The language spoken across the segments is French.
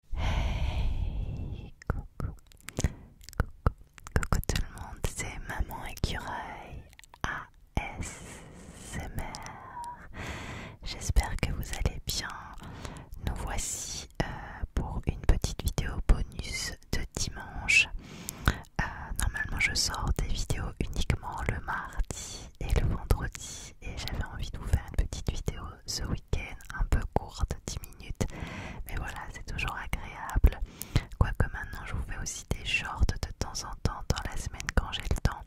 coucou, coucou, coucou tout le monde, c'est Maman Écureuil ASMR. J'espère que vous allez bien. Nous voici euh, pour une petite vidéo bonus de dimanche. Euh, normalement, je sors des vidéos uniquement le mardi et le vendredi et j'avais envie de vous faire une petite vidéo ce week-end, un peu courte, 10 minutes, mais voilà, c'est toujours agréable. Quoique maintenant je vous fais aussi des shorts de temps en temps dans la semaine quand j'ai le temps.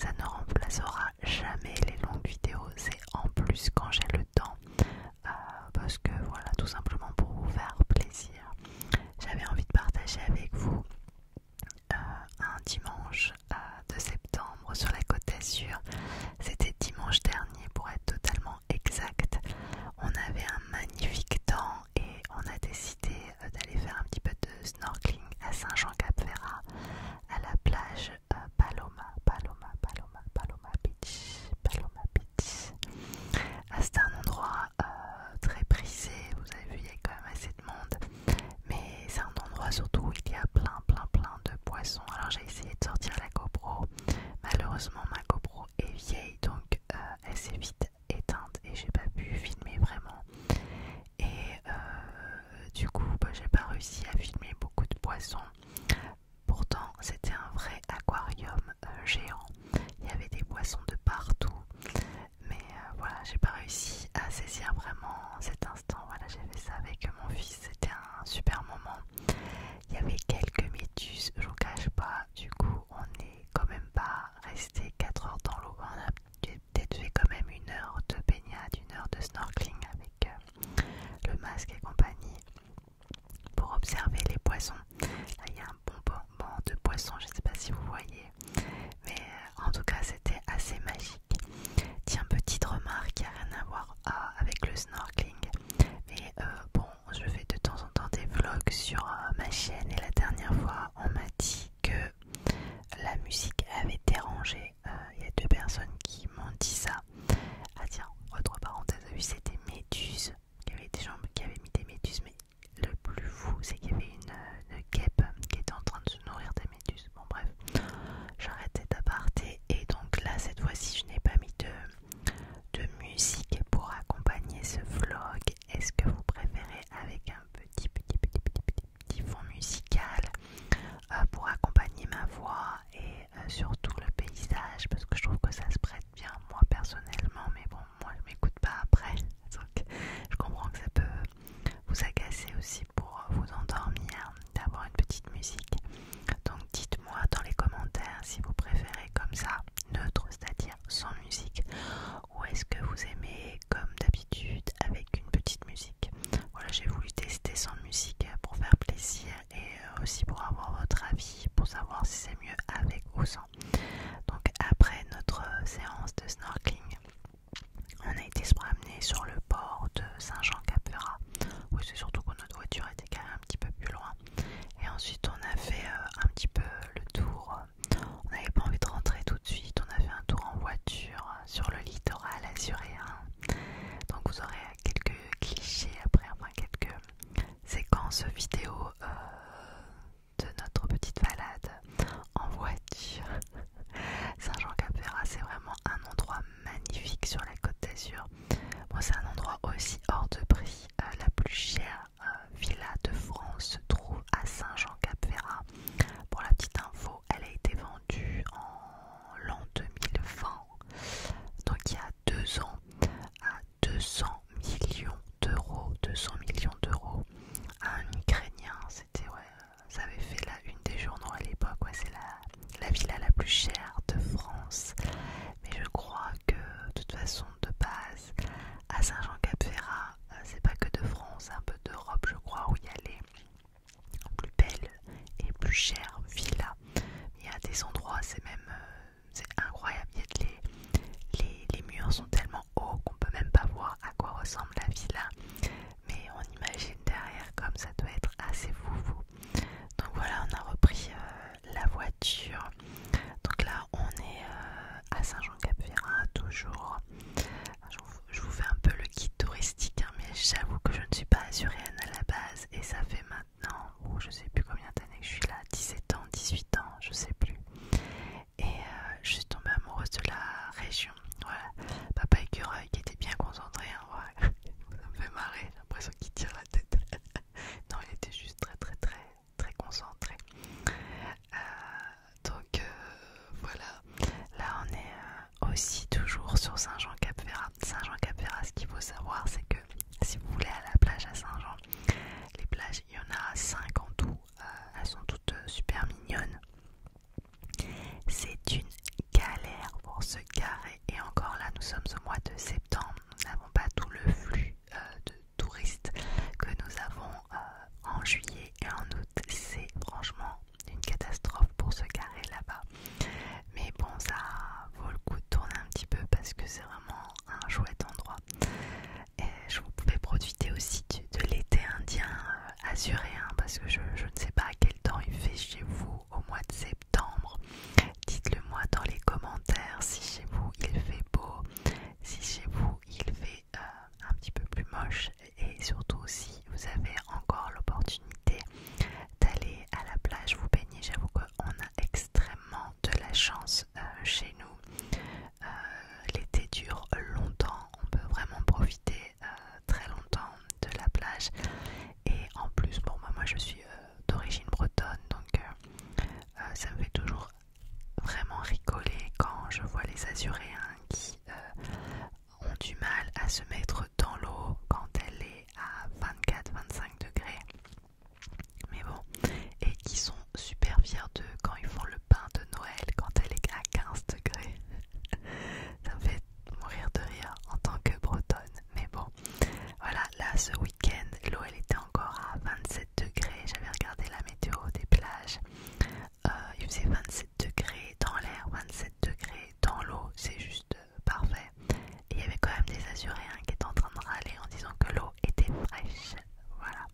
Ça ne remplacera jamais les longues vidéos, c'est en plus quand j'ai le temps. Euh, parce que voilà, tout simplement pour vous faire plaisir. J'avais envie de partager avec vous euh, un dimanche de septembre sur la côte d'Azur. C'était dimanche dernier pour être totalement exact. On avait un magnifique temps et on a décidé euh, d'aller faire un petit peu de snorkeling à Saint-Jean-Cap-Ferrat à la plage euh, Paloma, Paloma, Paloma, Paloma Beach, Paloma Beach. Ah, c'est un endroit euh, très prisé. vous avez vu, il y a quand même assez de monde, mais c'est un endroit surtout où il y a plein, plein, plein de poissons. Alors j'ai essayé de sortir la GoPro. Malheureusement ma GoPro est vieille donc euh, elle s'est vite éteinte et j'ai pas pu filmer vraiment. Et euh, du coup bah, j'ai pas réussi à filmer beaucoup de poissons. Pourtant c'était un vrai aquarium euh, géant. Il y avait des poissons de partout. Mais voilà, j'ai pas réussi à saisir vraiment cet instant. Voilà, j'ai fait ça avec mon fils c'était un super moment. Il y avait quelques métus, je vous cache pas, du coup on est quand même pas resté 4 heures dans l'eau, on a peut-être fait quand même une heure de baignade, une heure de snorkeling avec euh, le masque et compagnie pour observer les poissons. Là il y a un bon bon de poissons, je sais pas si vous voyez, mais euh, en tout cas c'était assez magique. Tiens, petite remarque à n'a rien à voir ah, avec le snorkeling. Mais euh, bon, je fais de temps en temps des vlogs sur euh, ma chaîne et la dernière fois, on m'a dit que la musique avait dérangé. Il euh, y a deux personnes qui m'ont dit ça. Ah tiens, autre parenthèse, c'était Méduse qui avait, des jambes, qui avaient mis des méduses, mais le plus fou, c'est qu'il y avait une, guêpe qui était en train de se nourrir des Bon bref, j'arrête cet aparté et donc là cette fois-ci je n'ai pas mis de, musique pour accompagner ce vlog. Est-ce que vous préférez avec un petit petit petit petit petit, fond musical euh, pour accompagner ma voix et euh, surtout le paysage parce que je trouve que ça se prête bien moi personnellement mais bon moi je ne m'écoute pas après donc je comprends que ça peut vous agacer aussi pour vous endormir d'avoir une petite musique. Donc dites-moi dans les commentaires si vous préférez comme ça, neutre, c'est-à-dire sans musique, ou est-ce que vous aimez comme d'habitude avec une petite musique. Voilà, j'ai voulu tester sans musique pour faire plaisir et euh, aussi pour avoir votre avis, pour savoir si c'est mieux avec ou sans. Donc après notre euh, séance de snorkeling, on a été se promener sur le port de saint jean ferrat Où c'est surtout que notre voiture était quand même un petit peu plus loin. Et ensuite, on a fait euh, un petit peu le tour. On n'avait pas envie de rentrer tout de suite. On a fait un tour en voiture euh, sur le littoral azuréen. Donc, vous aurez quelques clichés après, enfin quelques séquences vidéo euh, de notre petite balade en voiture. saint jean ferrat c'est vraiment un endroit magnifique sur la côte d'Azur. c'est un endroit aussi hors de prix. Euh, la plus chère euh, villa de France se trouve à Saint-Jean-Cap-Ferrat. Pour la petite info, elle a été vendue en l'an 2020, donc il y a deux ans, à 200 millions d'euros. 200 millions d'euros à un Ukrainien, c'était ouais, ça avait fait là une des journaux à l'époque, quoi c'est la, la villa la plus chère de France. Mais je crois que de toute façon, de base, à Saint-Jean-Cap-Ferrat, euh, c'est pas que de France, un peu d'Europe, je crois, où il y a les plus belles et plus chères villas. Il y a des endroits, c'est même euh, c'est incroyable. les, les, les murs sont tellement hauts qu'on peut même pas voir à quoi ressemble la villa mais on imagine derrière comme ça doit être assez foufou. Donc voilà, on a repris euh, la voiture. Donc là, on est euh, à saint jean cap toujours. Je vous fais un peu le guide touristique, hein, mais j'avoue que je ne suis pas azurienne à la base et ça fait maintenant, ou oh, je sais plus combien d'années que je suis là, 17 ans, 18 ans, je sais plus. Et euh, je suis tombée amoureuse de la région voilà, Papa écureuil qui était bien concentré. Hein, Ça me fait marrer, j'ai l'impression qu'il tire la tête. non, il était juste très très très très concentré. Euh, donc euh, voilà, là on est euh, aussi toujours sur Saint-Jean-Cap-Ferrat. Saint-Jean-Cap-Ferrat, ce qu'il faut savoir, c'est que si vous voulez à la plage à Saint-Jean, les plages, il y en a 5 en tout, elles sont toutes super mignonnes. C'est une galère pour ce carré et encore là nous sommes au mois de septembre, nous n'avons pas tout le flux euh, de touristes que nous avons euh, en juillet et en août. C'est franchement une catastrophe pour ce carré là-bas. Mais bon ça vaut le coup de tourner un petit peu parce que c'est vraiment un chouette endroit. je vous pouvais profiter aussi de l'été indien euh, assuré, hein, parce que je, ne sais pas à quel temps il fait chez vous au mois de septembre. Dites-le moi dans les commentaires si chez vous il fait beau, si chez vous il fait euh, un petit peu plus moche et surtout si vous avez encore l'opportunité d'aller à la plage vous baigner. J'avoue qu'on a extrêmement de la chance euh, chez nous. Euh, l'été dure longtemps, on peut vraiment profiter euh, très longtemps de la plage et en plus pour moi bah, moi je suis euh, d'origine bretonne donc euh, ça me fait toujours vraiment rigoler quand je vois les azuréens qui ont du mal à se mettre dans l'eau quand elle est à 24-25 degrés mais bon et qui sont super fiers De quand ils font le pain de Noël quand elle est à 15 degrés ça me fait mourir de rire en tant que bretonne. Mais bon, voilà, là ce week-end, l'eau elle était encore à 27 degrés. J'avais regardé la météo des plages. Euh, il faisait 27 degrés dans l'air, 27 degrés dans l'eau, c'est juste euh, parfait. il y avait quand même des Azuréens qui étaient en train de râler en disant que l'eau était fraîche. Voilà.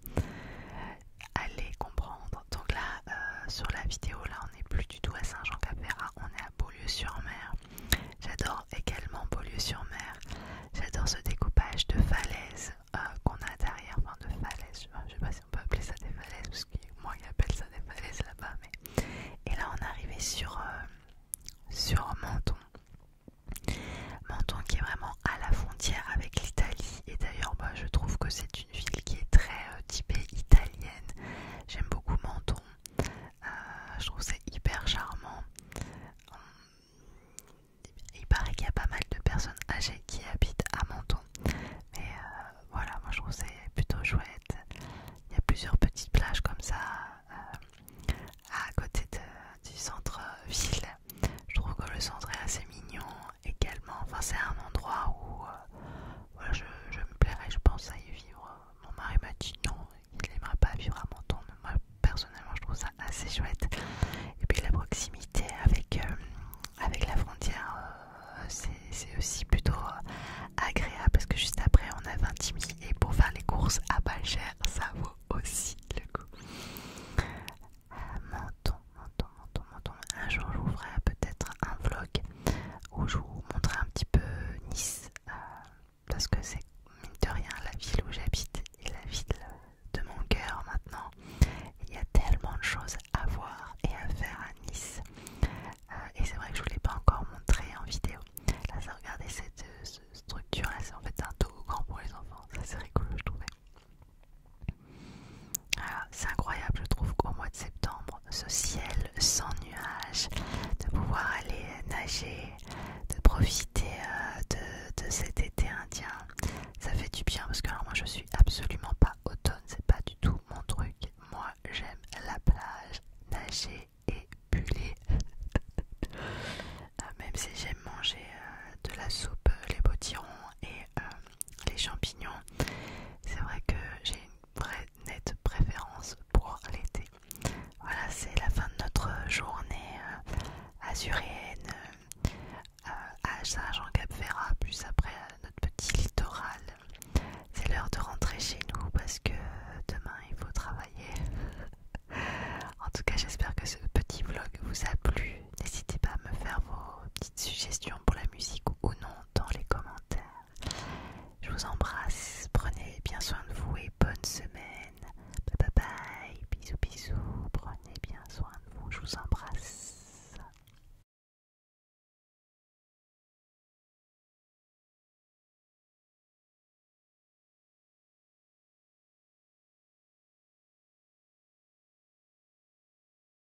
Allez comprendre. Donc là, euh, sur la vidéo, là on est plus à saint jean cap on est à Beaulieu-sur-Mer. J'adore également Beaulieu-sur-Mer. J'adore ce découpage de falaises euh, qu'on a derrière, enfin de falaises, je sais pas si on peut appeler ça des falaises, parce que moi ils appelle ça des falaises là-bas, mais... Et là on est arrivé sur, euh, sur Menton. Menton qui est vraiment à la frontière avec l'Italie, et d'ailleurs bah, je trouve que c'est ville qui est très euh, typée italienne. J'aime beaucoup Menton. Euh, je trouve c'est hyper charmant. Hum, il paraît qu'il y a pas mal de personnes âgées qui habitent à Menton. Mais euh, voilà, moi je trouve c'est plutôt chouette. Il y a plusieurs petites plages comme ça à côté du centre-ville. Je trouve que le centre est assez mignon également. Enfin, c'est un endroit où euh, je, me plairais, je pense, à y vivre. Mon mari m'a dit non, il n'aimera pas vivre à Menton, mais moi personnellement, je trouve ça assez chouette. Et puis la proximité avec, euh, avec la frontière, euh, c'est aussi plutôt agréable parce que juste après, on a 20 000 et pour faire les courses à pas cher, ça vaut aussi le coup. Menton. Un jour, je vous ferai peut-être un vlog où je vous montrerai un petit peu Nice, euh, parce que c'est mine de rien la ville où j'habite et la ville de mon cœur maintenant. Il y a tellement de choses à voir et à faire à Nice. Euh, et c'est vrai que je ne vous l'ai pas encore montré en vidéo. Là, regardez cette, euh, cette structure, c'est en fait un grand pour les enfants. Ça, c'est rigolo, je trouvais. Ah, c'est incroyable, je trouve qu'au mois de septembre, ce ciel sans nuages, de pouvoir aller nager, de profiter euh, de, cet été indien, ça fait du bien parce que alors moi je suis absolument pas automne, c'est pas du tout mon truc. Moi j'aime la plage, nager et buller. Euh, même si j'aime manger euh, de la soupe, les potirons et les champignons. C'est vrai que j'ai une vraie nette préférence pour l'été. Voilà, c'est la fin de notre journée azurienne euh, euh, à Saint-Jean-Cap-Ferrat, plus après euh, notre petit littoral. C'est l'heure de rentrer chez nous parce que demain il faut travailler. en tout cas, j'espère que ce petit vlog vous a plu. N'hésitez pas à me faire vos petites suggestions pour la musique ou non dans les commentaires. Je vous embrasse, prenez bien soin de vous et bonne semaine. Bye bye bye, bisous bisous, prenez bien soin de vous, je vous embrasse.